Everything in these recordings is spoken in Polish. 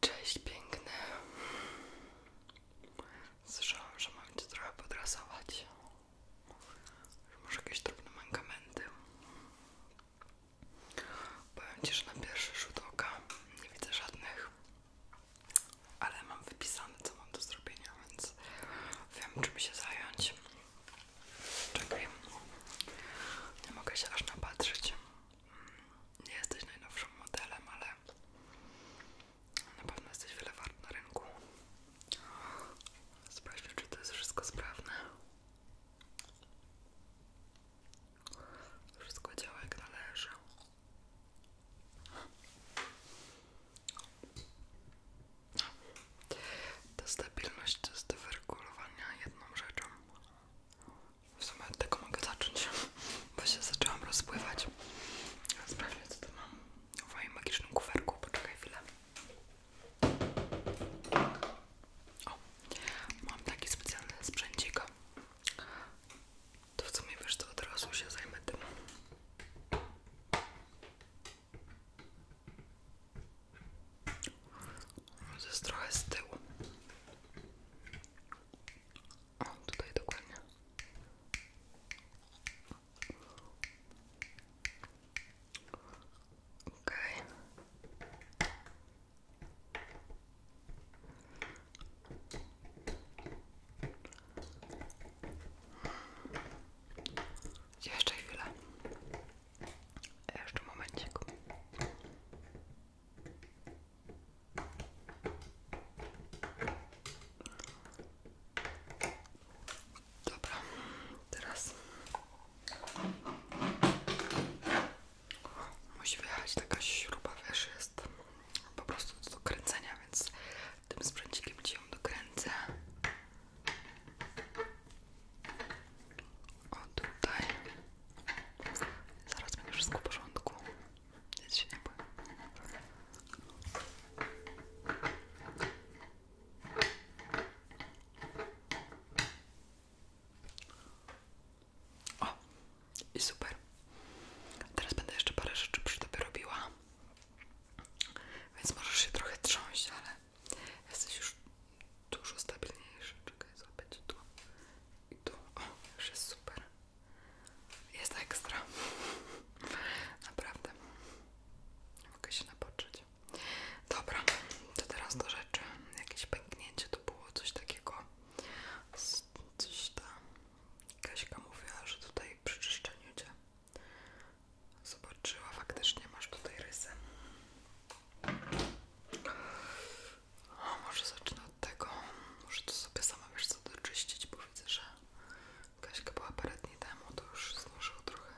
Cześć piękny. Słyszałam, że mam cię trochę podrasować. Może jakieś drobne mankamenty. Powiem ci, że na pierwszy rzut oka nie widzę żadnych, ale mam wypisane, co mam do zrobienia, więc wiem, czym się zająć. Czekaj. Nie mogę się aż napatrzeć. Mm, nie jesteś najnowszym modelem, ale na pewno jesteś wiele wart na rynku. Sprawdźmy, czy to jest wszystko sprawne. Wszystko działa jak należy. No. Ta stabilność to jest do wyregulowania jedną rzeczą. W sumie od tego mogę zacząć, bo się zaczęłam rozpływać. Sprawdźmy, co tu mam w moim magicznym kuferku. Poczekaj chwilę. O, mam taki specjalny sprzęcik. To w sumie wiesz to od razu się zajmę tym. To jest tutaj dokładnie. Okej. Okay. Jeszcze chwilę. Jeszcze momencik. Dobra, teraz musi wyjechać taka śruba, wiesz, jest po prostu do kręcenia, więc tym sprzęcikiem ci ją dokręcę o Zaraz będzie wszystko w porządku. Nic i super. Teraz będę jeszcze parę rzeczy przy tobie robiła. Więc możesz się trochę trząść, ale Jesteś już dużo stabilniejszy. Czekaj, złapię tu i tu. O, już jest super. Jest ekstra. Naprawdę. Mogę się napoczyć. Dobra, to teraz do rzeczy. Jakieś pęknięcie to było coś takiego. Coś tam. Kaśka mówiła, że tutaj przy czyszczeniu cię Zobaczyła, faktycznie masz tutaj rysy. O, może zacznę od tego. Muszę to sobie sama wiesz co doczyścić, bo widzę, że Kaśka była parę dni temu, to już złożyło trochę.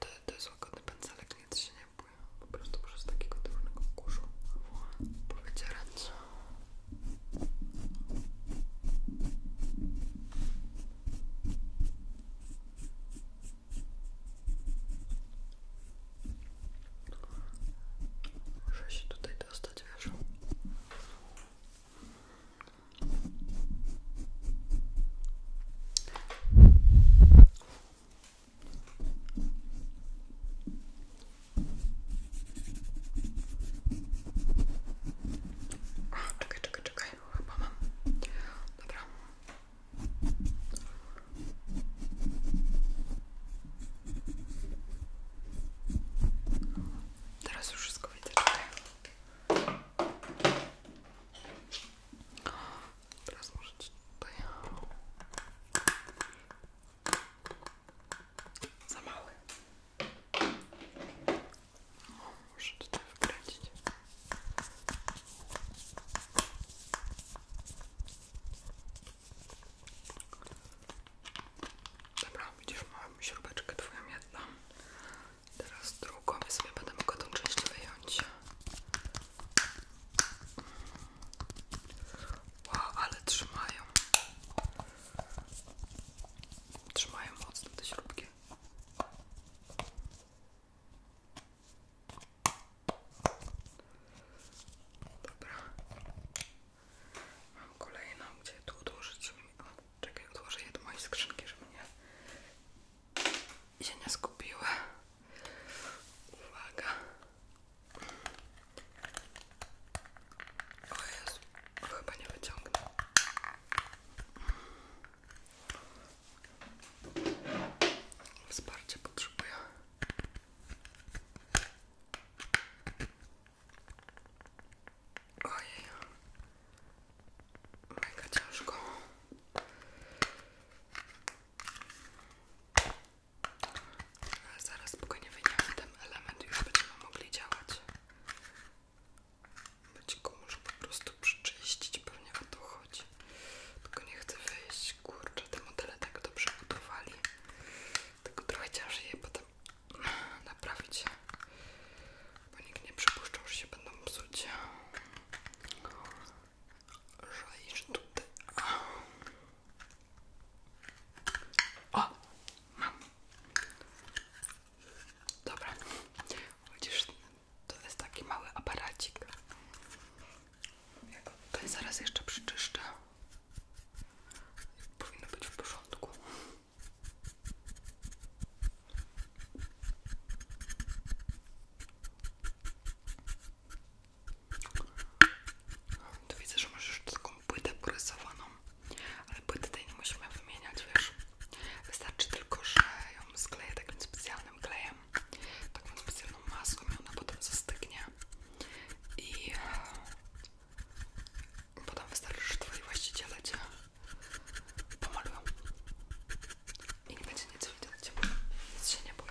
To, to jest łagodny pędzelek, nic się nie bój. Po prostu przez takiego trudnego kurzu powydzierać. Жаще туда и достать вяжу. A, czekaj, czekaj, czekaj, chyba mam. Dobra. Teraz już wszystko widzę, czekaj. Teraz może tutaj... Za mały. Muszę tutaj wkręcić. Dobra, widzisz, mam śrubeczkę twoją jedną. Teraz drugą, więc sobie będę mogła tą część wyjąć. Wow, ale trzymają. Trzymają mocno te śrubki. Dobra. Mam kolejną, gdzie tu odłożyć. O, czekaj, odłożę je do mojej skrzynki, żeby mnie się nie skupiły. Uwaga. O Jezu, chyba nie wyciągnę. Wsparcie potrzebuję. Ojej, mega ciężko. Ale zaraz spokojnie wyjmiemy ten element już będziemy mogli działać. Będziku muszę po prostu przyczyścić, pewnie o to chodzi. Tylko nie chcę wyjść, kurczę, te modele tak dobrze budowali. Tylko trochę ciężej je potem naprawić. Bo nikt nie przypuszczał, że się będą psuć. Żalisz tutaj. O! Mam. Dobra. Widzisz, to jest taki mały aparacik. Ja go tutaj zaraz jeszcze przyczyszczę. Powinno być w porządku. To widzę, że masz już taką płytę porysowaną, ale płyty tej nie musimy wymieniać, wiesz? Wystarczy tylko, że ją skleję takim specjalnym klejem, takim specjalną maską i ona potem zastygnie i e, potem wystarczy, że twoi właściciele cię pomalują i nie będzie nic widać, nic się nie boi.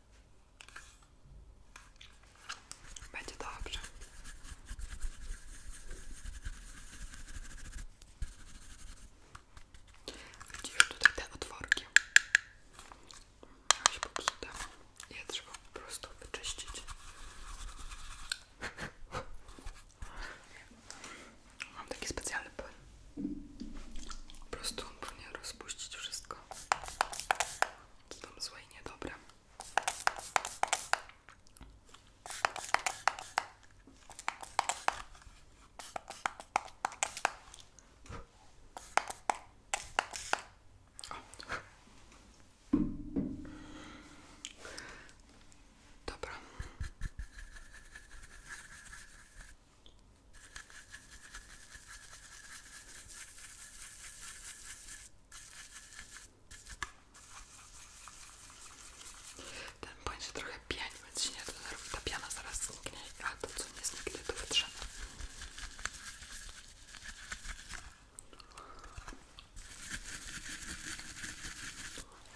Będzie dobrze. Widzisz tutaj te otworki. Miałeś po prostu wyczyścić. Mam taki specjalny skalpy. Po prostu on rozpuścić wszystko, co tam złe i Dobra. Ten płyn się trochę pieni, więc się zaraz zniknie, a to co nie zniknie to wytrzemy.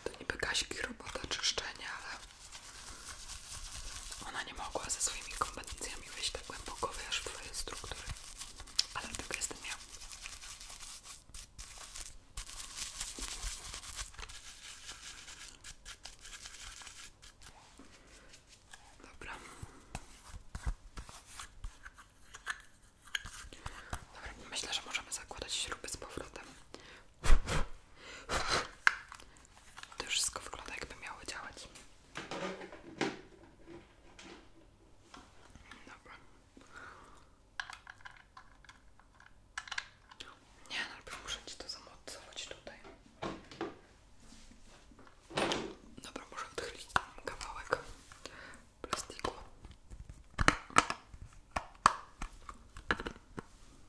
To niby gaśki robota czyszczenia, ale ona nie mogła ze swoimi kompetencjami wejść tak głęboko, wiesz, w twoje struktury. Ale tylko jestem ja. Dobra, myślę, że możemy zakładać śruby z powrotem. Tu już wszystko wygląda jakby miało działać. Dobra. Nie, no, najpierw muszę ci to zamocować tutaj. Dobra, muszę odchylić kawałek plastiku.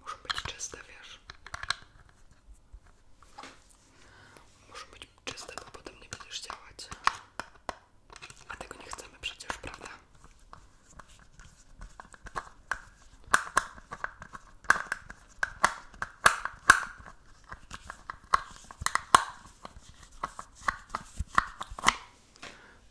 Muszą być czyste, wiesz? Muszą być czyste, bo potem nie będziesz działać. A tego nie chcemy przecież, prawda?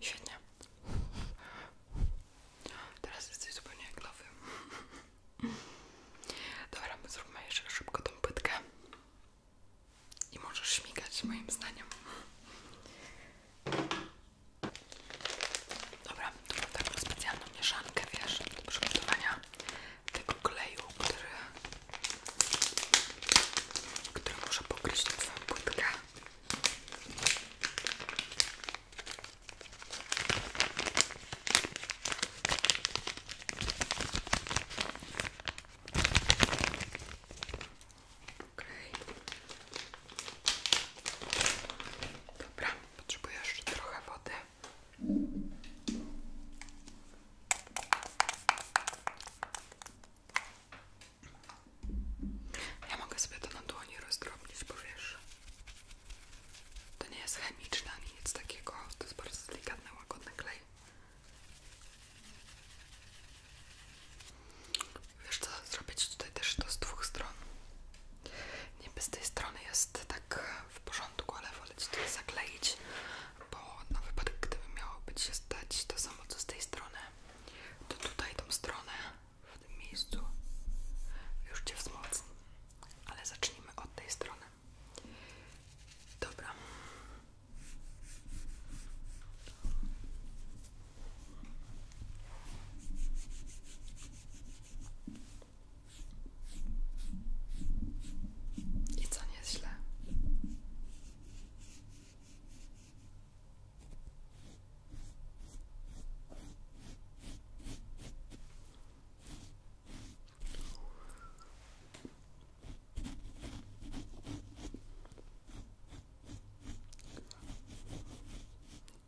Świetnie. Teraz jesteś zupełnie jak Dobra, zróbmy jeszcze szybko tą pytkę. I możesz śmigać moim zdaniem. Dobra, tu mam taką specjalną mieszankę, wiesz, do przygotowania tego kleju, który który może pokryć tę Dobra, potrzebuję jeszcze trochę wody. Ja mogę sobie to na nie rozdrobnić, bo wiesz, to nie jest chemiczne ani nic takiego, to jest bardzo delikatny, łagodny klej. Wiesz co, zrobić Ci tutaj też to z dwóch stron. Niby z tej strony jest tak w porządku, ale wolę to zakleić, bo na wypadek gdyby miało być się stać to samo co z tej strony, to tutaj tą stronę w tym miejscu już Cię wzmocni. Ale zacznijmy od tej strony. Dobra. I co nie? nie jest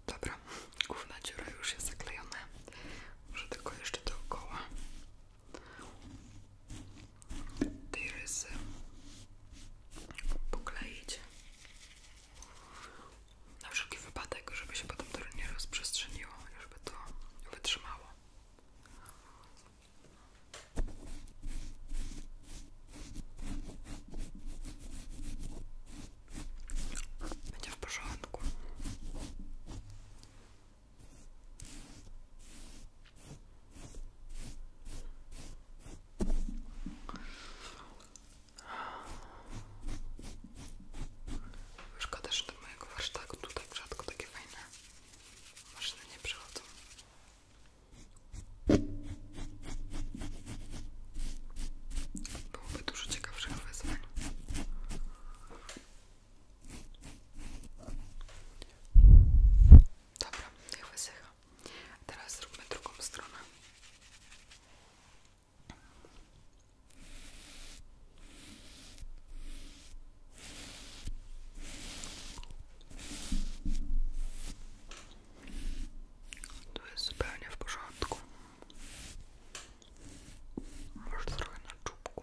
Dobra, główna dziura już jest zaklejona. Muszę tylko jeszcze dookoła tej rysy e, pokleić na wszelki wypadek, żeby się potem to nie rozprzestrzeniło, żeby to wytrzymało. Będzie w Szkoda, że do mojego warsztatu tutaj rzadko takie fajne maszyny nie przychodzą. Byłoby dużo ciekawszych wyzwań. Dobra, niech wysycha. Teraz zróbmy drugą stronę. To jest zupełnie w porządku. Może na czubku.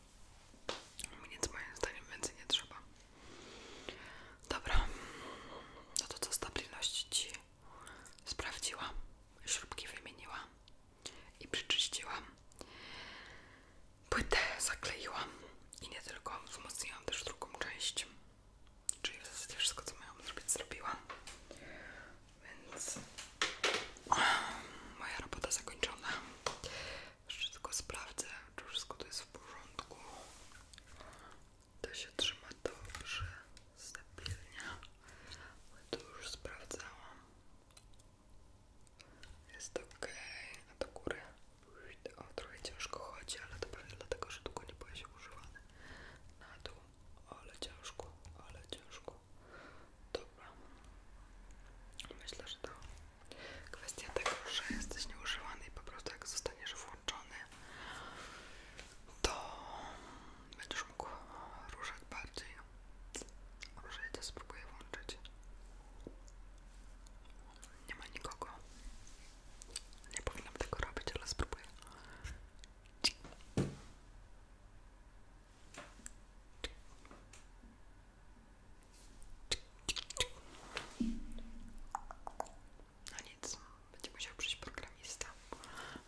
Nic moim zdaniem więcej nie trzeba. Dobra, no to co stabilności Ci sprawdziłam, śrubki wymieniłam i przyczyściłam. Płytę zakleiłam i nie tylko, wzmocniłam też drugą część. Czyli w zasadzie wszystko co miałam zrobić zrobiłam. Więc moja robota zakończona. Jeszcze tylko sprawdzę, czy wszystko to jest w porządku. To się trzyma dobrze, stabilnie. Ale to już sprawdzałam. Jest ok, a do góry. O, trochę ciężko chodzi, ale to pewnie dlatego, że długo nie byłeś używane, Na dół, ale ciężko, ale ciężko. To Myślę, że to kwestia tego, że jesteś nieużywany i po prostu jak zostaniesz włączony, to będziesz mógł ruszać bardziej. Może ja to spróbuję włączyć. Nie ma nikogo. Nie powinnam tego robić, ale spróbuję. Cik. No nic, będzie musiał przyjść programista,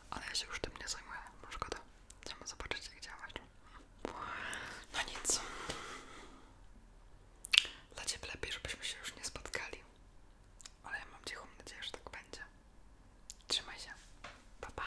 ale ja się już tym nie zajmuję, szkoda. Chcemy zobaczyć jak działać. No nic. Dla Ciebie lepiej, żebyśmy się już nie spotkali. Ale ja mam cichą nadzieję, że tak będzie. Trzymaj się. Pa, pa.